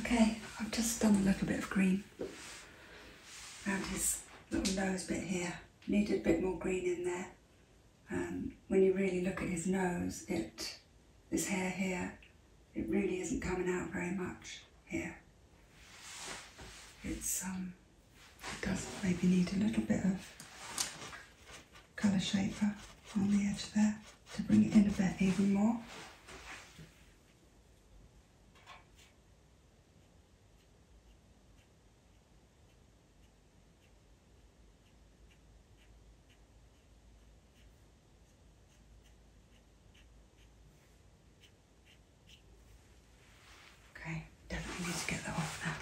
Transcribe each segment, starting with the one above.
Okay, I've just done a little bit of green around his little nose bit here. Needed a bit more green in there. And um, when you really look at his nose, it, this hair here, it really isn't coming out very much here. It's, um, it does maybe need a little bit of colour shaper on the edge there to bring it in a bit even more. Okay, definitely need to get that off now.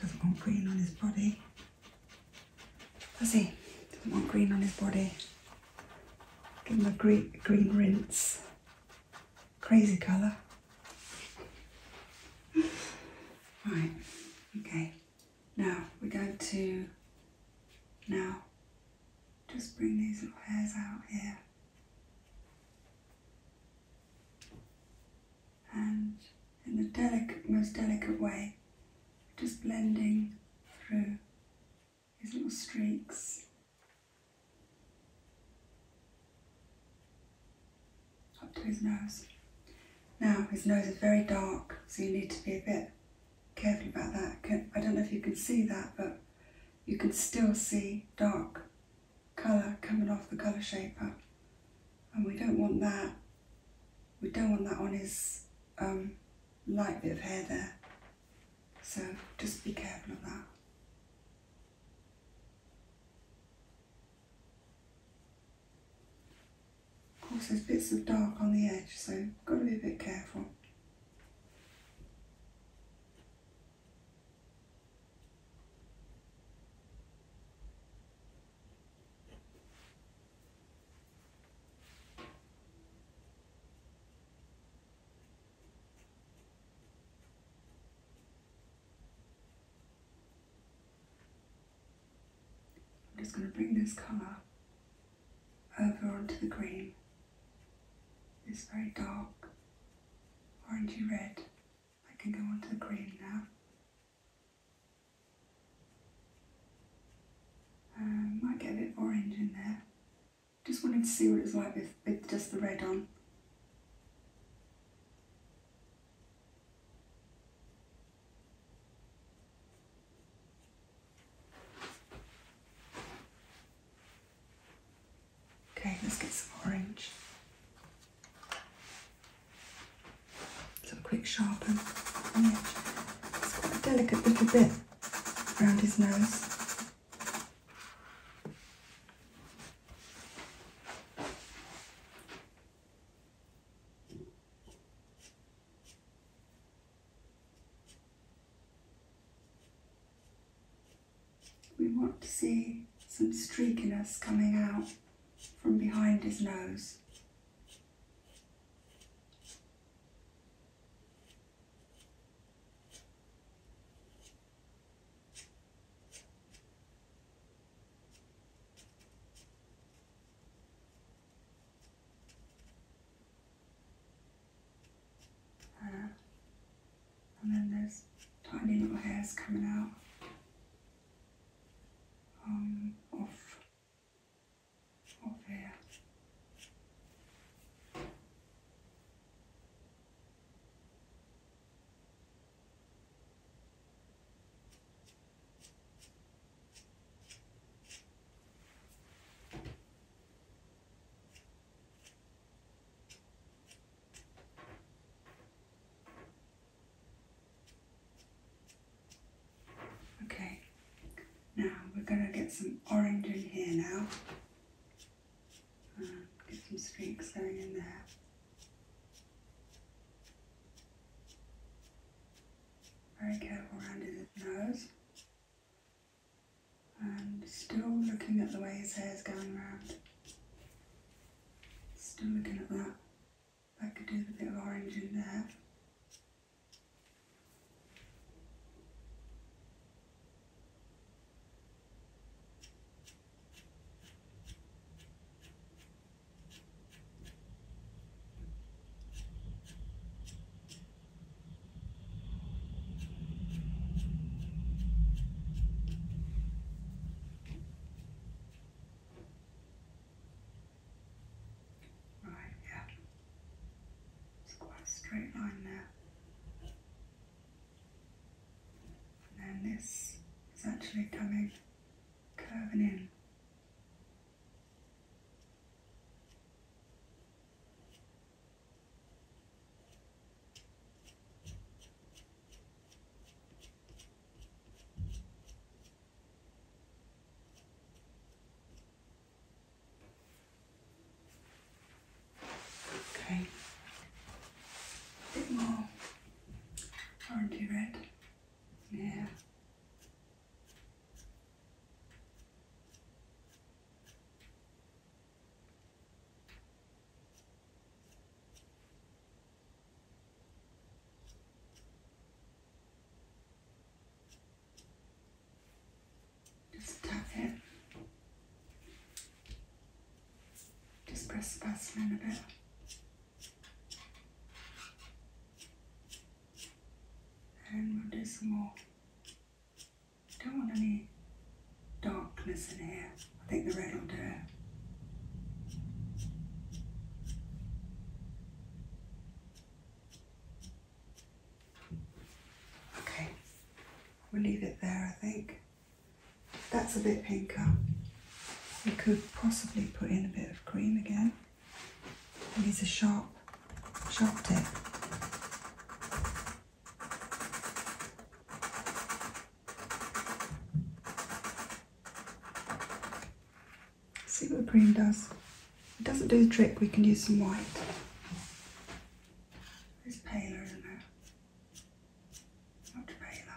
Doesn't want green on his body. Does he? Doesn't want green on his body. Give him a green, green rinse. Crazy colour. Right, okay. Now we're going to now just bring these little hairs out here and in the delicate, most delicate way, just blending through his little streaks. Up to his nose. Now, his nose is very dark, so you need to be a bit careful about that. I don't know if you can see that, but you can still see dark colour coming off the colour shaper. And we don't want that we don't want that on his um, light bit of hair there. So just be careful of that. Of course there's bits of dark on the edge, so got to be a bit careful. I'm just going to bring this colour over onto the green, this very dark orangey red. I can go onto the green now. Um, might get a bit orange in there. Just wanted to see what it's like with just the red on. Okay, let's get some orange. So a quick sharpen on the edge. It's quite a delicate little bit around his nose. We want to see some streakiness coming out from behind his nose. Uh, and then there's tiny little hairs coming out um, off over Okay, now we're going to get some orange in here now. Uh, get some streaks going in there. Very careful around his nose. And still looking at the way his hair is going around. Still looking at that. I could do a bit of orange in there. Right, yeah. It's quite a straight line there. And then this is actually coming, curving in. Okay, bit more orangey red. Yeah. Just tap it. Just press the button a bit. And we'll do some more. Don't want any darkness in here. I think the red will do it. Okay, we'll leave it there, I think. That's a bit pinker. We could possibly put in a bit of cream again. It needs a sharp, sharp tip. See what the green does. it doesn't do the trick, we can use some white. It's paler, isn't it? Much paler.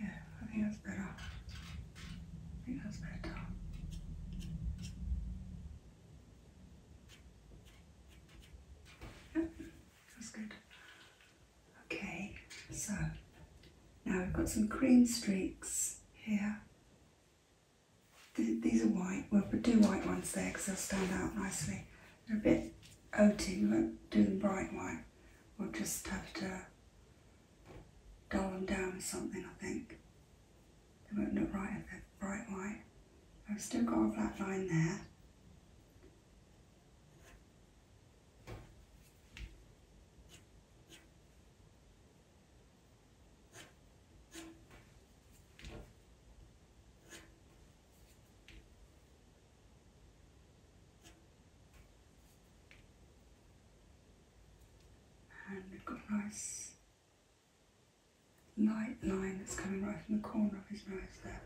Yeah, I think that's better. I think that's better. Yep, that's good. Okay, so now we've got some cream streaks here these are white. We'll do white ones there because they'll stand out nicely. They're a bit oaty. We won't do them bright white. We'll just have to dull them down or something, I think. They won't look right if they're bright white. I've still got a black line there. And we've got a nice light line that's coming right from the corner of his nose there.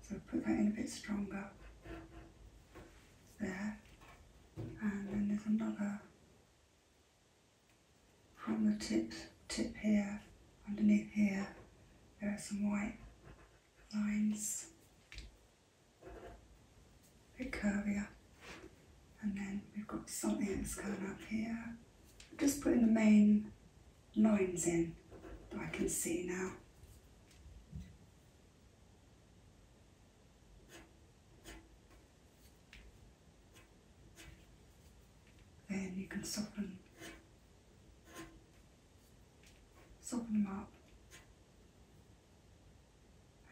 So put that in a bit stronger there. And then there's another from the tip, tip here, underneath here, there are some white lines, a bit curvier, and then we've got something that's going up here. just putting the main lines in that I can see now. Then you can soften, soften them up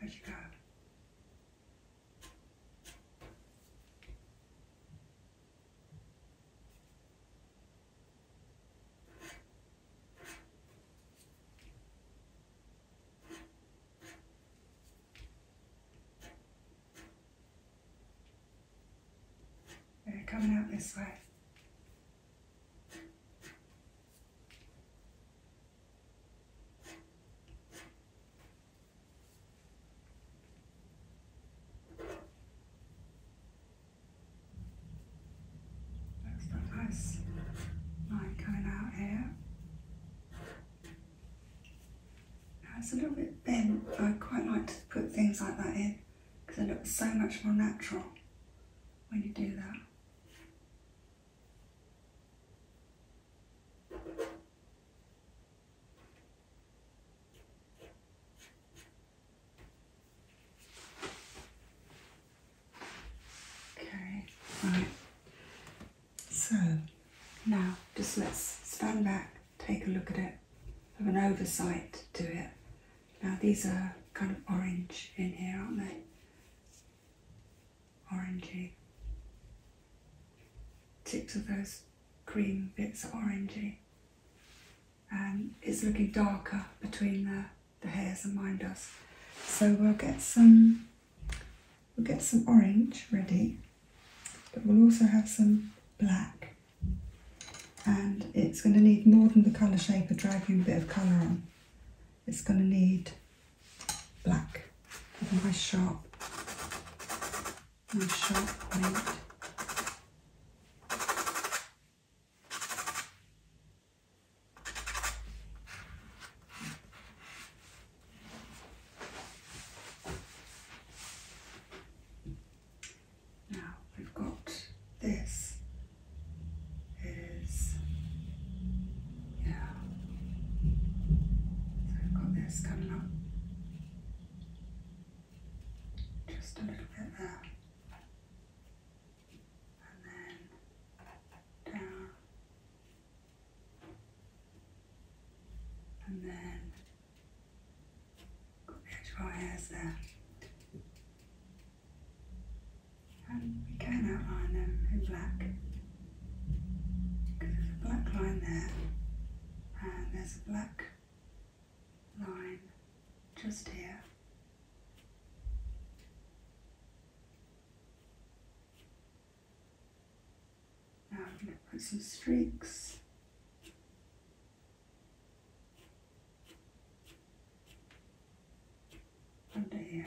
as you go. They're coming out this way. That's nice. Line coming out here. Now it's a little bit bent, but I quite like to put things like that in because it looks so much more natural when you do that. Okay, right. So now just let's stand back, take a look at it of an oversight to it. Now these are kind of orange in here, aren't they? Orangey. Tips of those cream bits are orangey. and um, it's looking darker between the, the hairs than mine does. So we'll get some we'll get some orange ready. But we'll also have some black. And it's going to need more than the colour shaper dragging a bit of colour on. It's going to need black with a sharp, nice sharp point. Now we've got this is yeah. So we've got this coming up just a little bit there. And then down and then as far as uh, and we can outline them in black because there's a black line there and there's a black line just here now I'm going to put some streaks. Under here.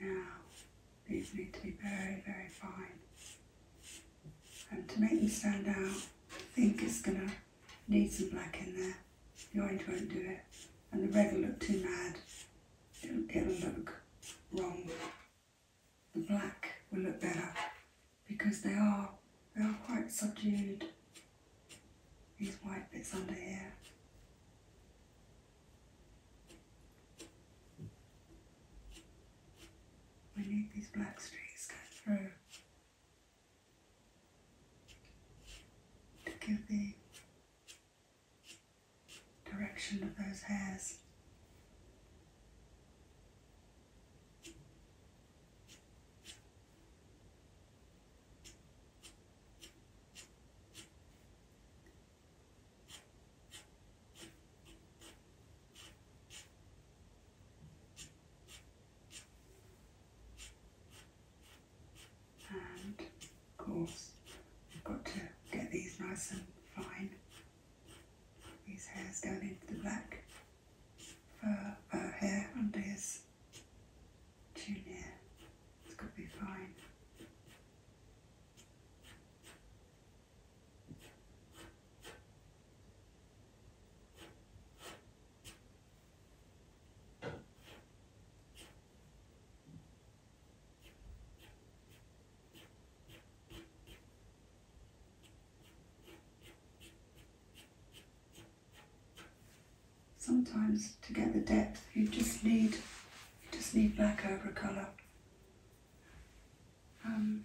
Now, these need to be very, very fine. And to make them stand out, I think it's going to need some black in there. The orange won't do it. And the red will look too mad. It'll, look wrong. The black will look better because they are, they are quite subdued. These white bits under here. We need these black streaks cut through to give the direction of those hairs. And of course, we've got to get these nice and fine. These hairs down into the back fur uh, hair under his chin here. has got to be fine. Sometimes to get the depth you just need you just need black over colour. Um,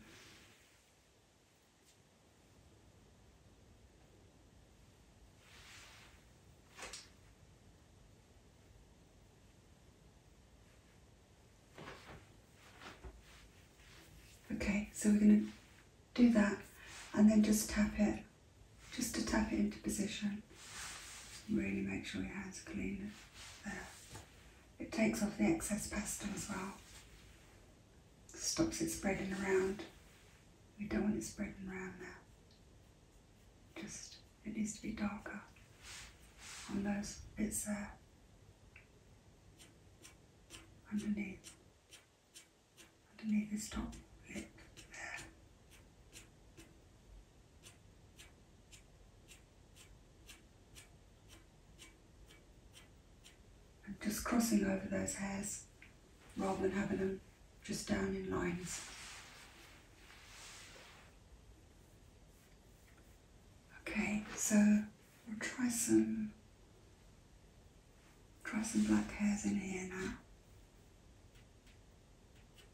okay, so we're going to do that and then just tap it, just to tap it into position. Really make sure your hands are clean there. It takes off the excess pasta as well. Stops it spreading around. We don't want it spreading around now. Just, it needs to be darker on those bits there. Underneath. Underneath this top lip there. I'm just crossing over those hairs rather than having them just down in lines. Okay, so we'll try some try some black hairs in here now.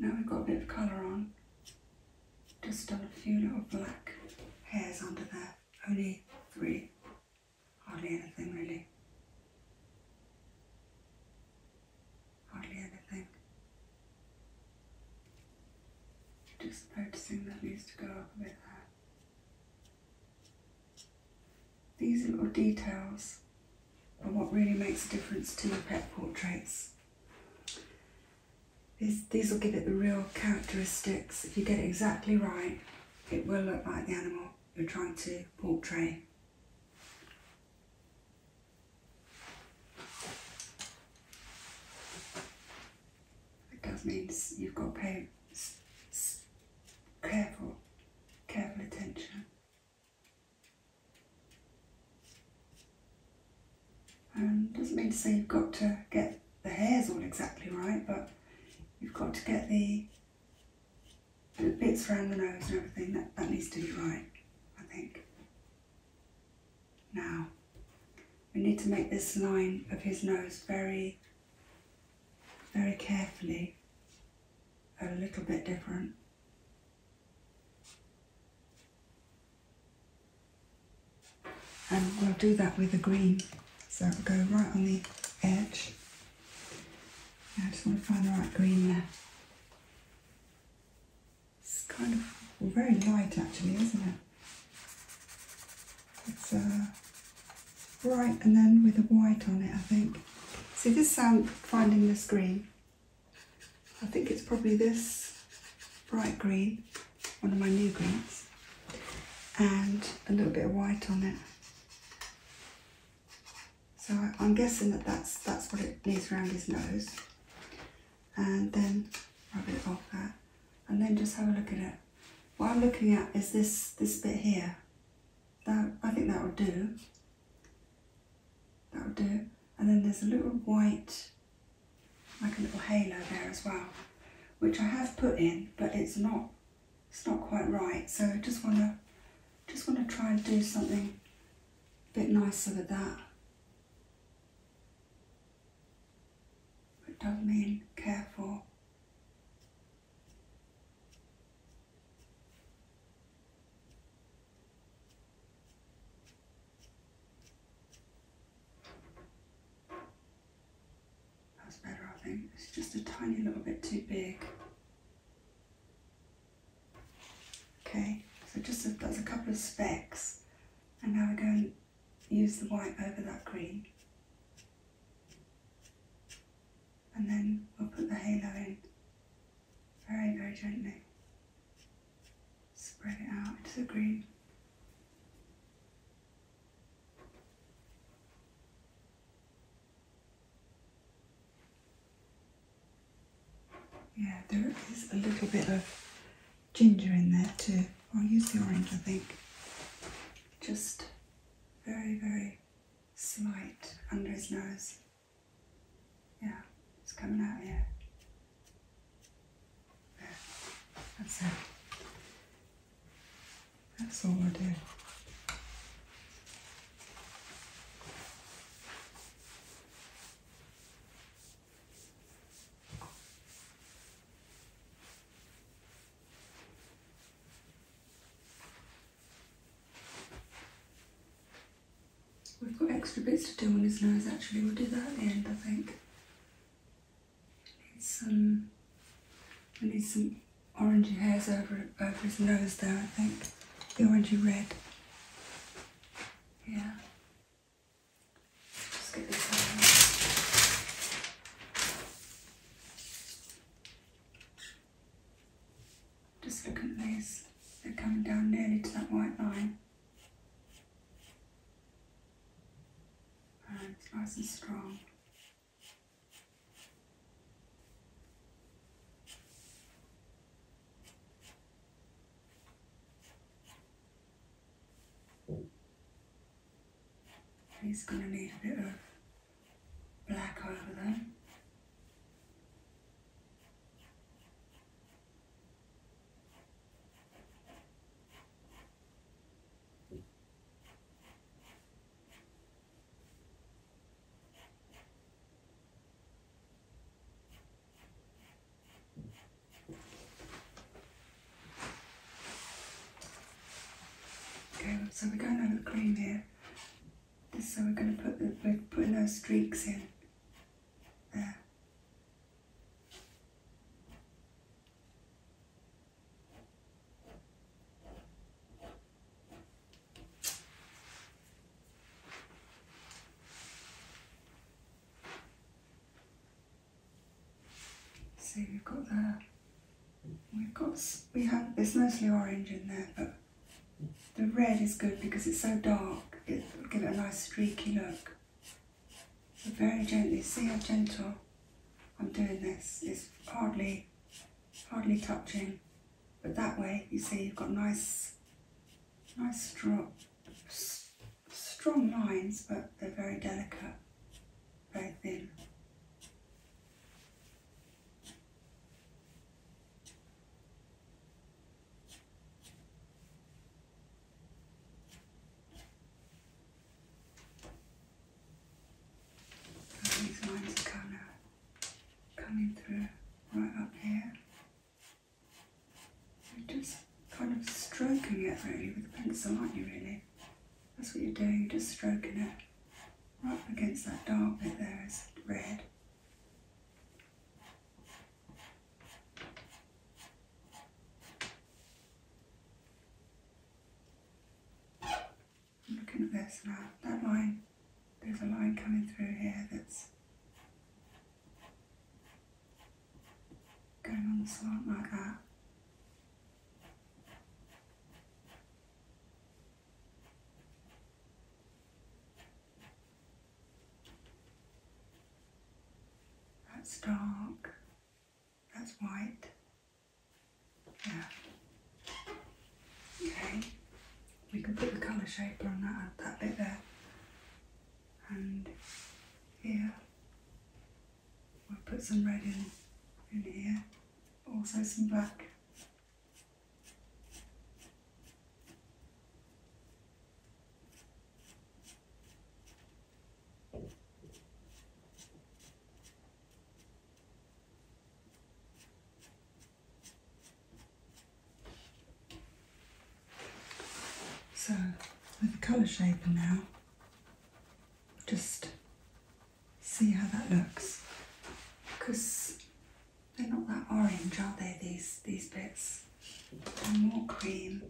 Now we've got a bit of colour on, just done a few little black hairs under there, only three, hardly anything really. Hardly anything. Just noticing that needs to go up a bit there. These little details are what really makes a difference to your pet portraits. These, these will give it the real characteristics. If you get it exactly right, it will look like the animal you're trying to portray. It does mean you've got to be careful careful attention. and um, doesn't mean to say you've got to get the hairs all exactly right, but you've got to get the, the bits around the nose and everything, that, that needs to be right, I think. Now, we need to make this line of his nose very very carefully, a little bit different. And we'll do that with the green. So it'll go right on the edge. I just want to find the right green there. It's kind of very light actually, isn't it? It's uh, Right, and then with a white on it, I think. See this um, finding this green, I think it's probably this bright green, one of my new greens, and a little bit of white on it. So I'm guessing that that's, that's what it needs around his nose. And then rub it off that. And then just have a look at it. What I'm looking at is this, this bit here. That, I think that'll do. That'll do. And then there's a little white, like a little halo there as well, which I have put in, but it's not, it's not quite right. So I just wanna, just wanna try and do something a bit nicer with that. It does mean care for. That's better, I think. It's just a tiny little bit too big. Okay, so just a, a couple of specks. And now we're going to use the white over that green and then we'll put the halo in very, very gently. Spread it out into the green. Yeah, there is a little bit of ginger in there too. I'll use the orange, I think. Just very, very slight under his nose. Yeah, it's coming out Yeah, There. That's it. That's all I do. We've got extra bits to do on his nose actually, we'll do that at the end I think. Need some, we need some orangey hairs over, over his nose there I think, the orangey red. Yeah. Just look at these. They're coming down nearly to that white line. And it's nice and strong. He's going to need a bit of black over them. Okay, so we're going over the cream here so we're going to put the, putting those streaks in there. See, we've got that. We've got, we have, it's mostly orange in there, but the red is good because it's so dark, it'll give it a nice streaky look. very gently, see how gentle I'm doing this. It's hardly, hardly touching. But that way, you see, you've got nice, nice strong, strong lines, but they're very delicate, very thin. That makes nice coming through right up here. You're just kind of stroking it really with a pencil, aren't you really? That's what you're doing, You're just stroking it right against that dark bit there is red. Looking at this now, that line, there's a line coming through here that's going on the slant like that. That's dark. That's white. Yeah. Okay. We can put the colour shape on that, that bit there. And here, we'll put some red in, in here. Also some black. So with the colour shaper now, just see how that looks because they're not that orange are they these these bits are more cream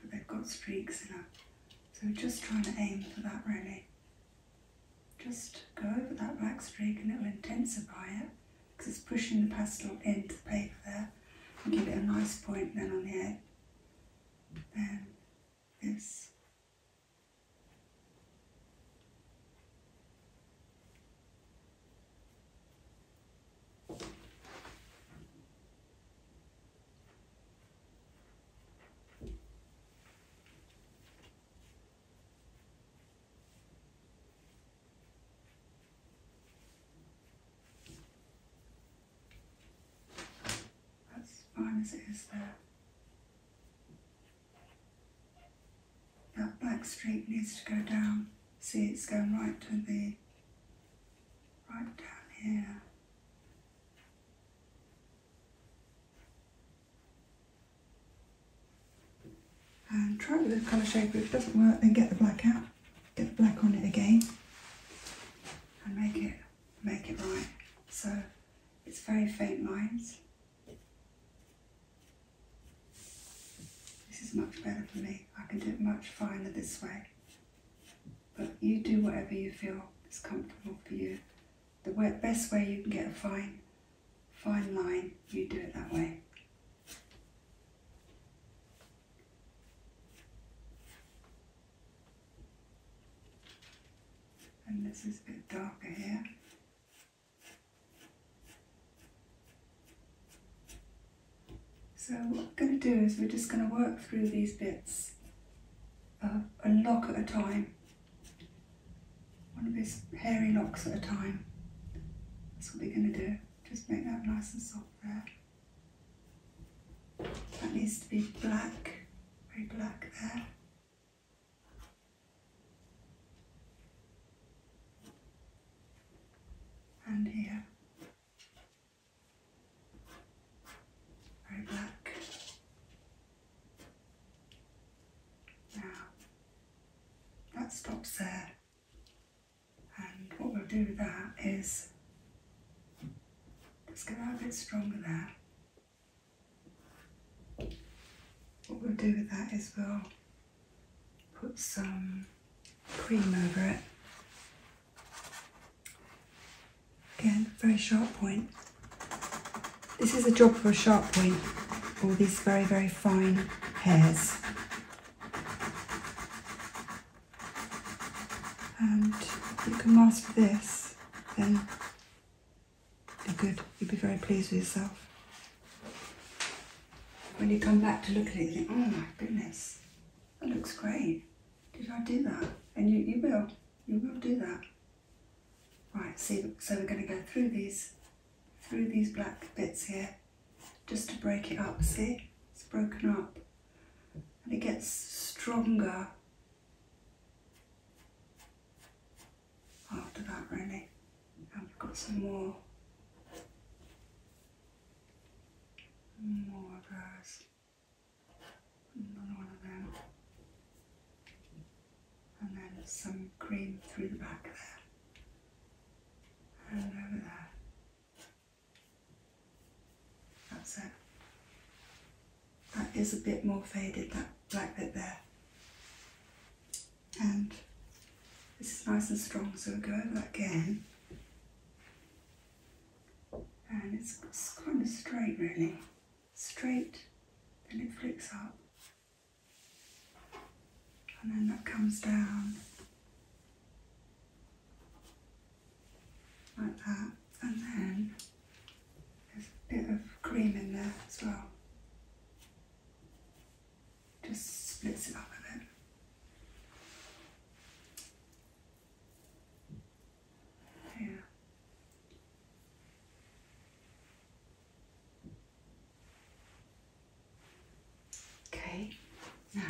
but they've got streaks in them so just trying to aim for that really just go over that black streak and it'll intensify it because it's pushing the pastel into the paper there and give it a nice point then on the edge then this as fine as it is there. That black streak needs to go down. See, it's going right to the, right down here. And try the colour shaper. If it doesn't work, then get the black out. Get the black on it again. And make it, make it right. So it's very faint lines. This is much better for me. I can do it much finer this way. But you do whatever you feel is comfortable for you. The way, best way you can get a fine, fine line, you do it that way. And this is a bit darker here. So what we're going to do is we're just going to work through these bits uh, a lock at a time, one of these hairy locks at a time. That's what we're going to do. Just make that nice and soft there. That needs to be black, very black there and here. Very black. Now that stops there, and what we'll do with that is just get that a bit stronger there. What we'll do with that is we'll put some cream over it. Again, very sharp point. This is a job for a sharp point, or these very, very fine hairs. And you can master this, then you would be very pleased with yourself. When you come back to look at it, you think, oh my goodness, that looks great. Did I do that? And you, you will. You will do that. Right, so, so we're going to go through these, through these black bits here, just to break it up, see? It's broken up. And it gets stronger after that really. And we've got some more, more of those. Another one of them. And then some green through the back there. And over there. That's it. That is a bit more faded, that black bit there and this is nice and strong so we'll go over that again and it's, it's kind of straight really straight then it flicks up and then that comes down like that and then there's a bit of cream in there as well just splits it up a bit. Yeah. Okay, now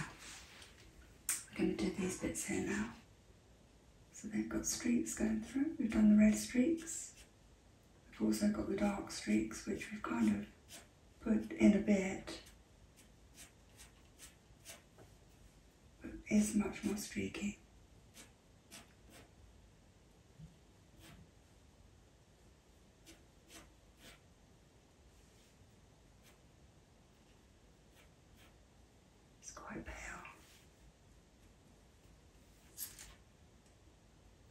we're going to do these bits here now. So they've got streaks going through. We've done the red streaks. I've also got the dark streaks which we've kind of put in a bit. It's much more streaky. It's quite pale.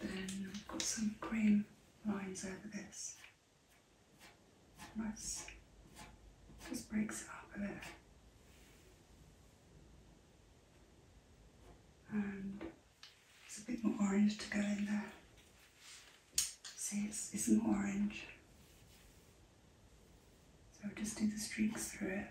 Then I've got some cream lines over this. Nice. Just breaks it up a bit. And there's a bit more orange to go in there. See, it's, it's an orange. So i just do the streaks through it.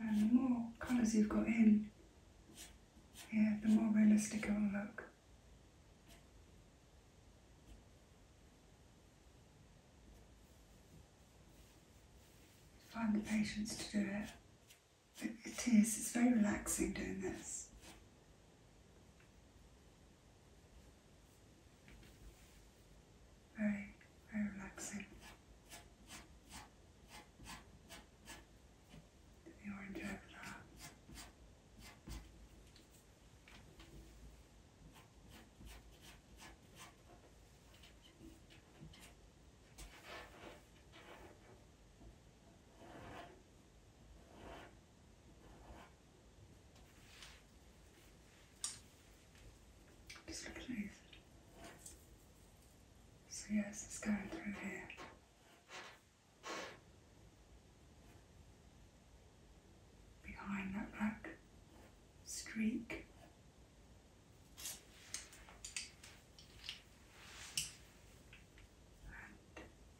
And the more colours you've got in, yeah, the more realistic it will look. Find the patience to do it. it. It is, it's very relaxing doing this. Very, very relaxing. Did you enjoy that? Just look at So yes, it's going through here. Behind that black streak.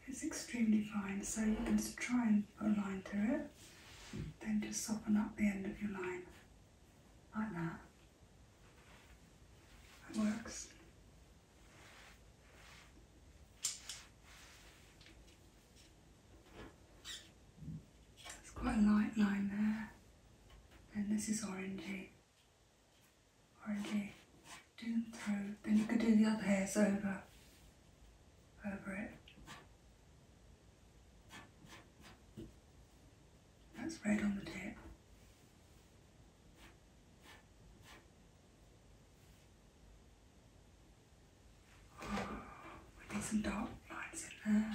it's extremely fine, so you can try and put a line through it, then just soften up the end of your line. Like that. It works. It's quite a light line there. Then this is orangey. Orangey. Do them through. Then you could do the other hairs over. Over it. That's right on the tip. Oh, we need some dark lines in there.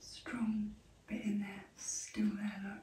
Strong bit in there, still there, look.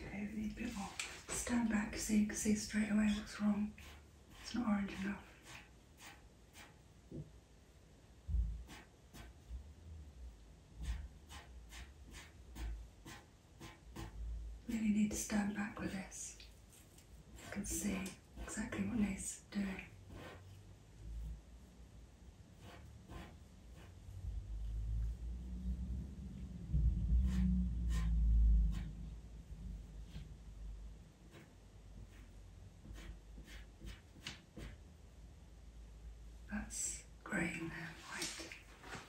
Okay, we need a bit more. Stand back so you see straight away what's wrong. It's not orange enough. Really need to stand back with this. You can see exactly what Nate's doing. That's grey in white.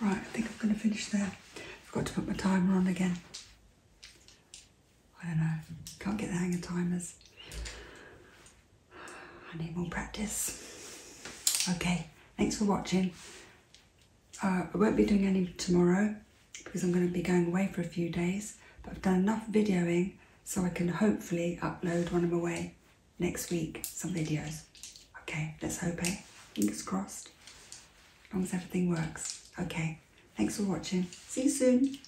Right, I think I'm going to finish there. Forgot to put my timer on again. I don't know, can't get the hang of timers. I need more practice. Okay, thanks for watching uh, I won't be doing any tomorrow because I'm going to be going away for a few days, but I've done enough videoing so I can hopefully upload when I'm away next week some videos. Okay, let's hope, eh? Fingers crossed. As long as everything works. Okay, thanks for watching. See you soon.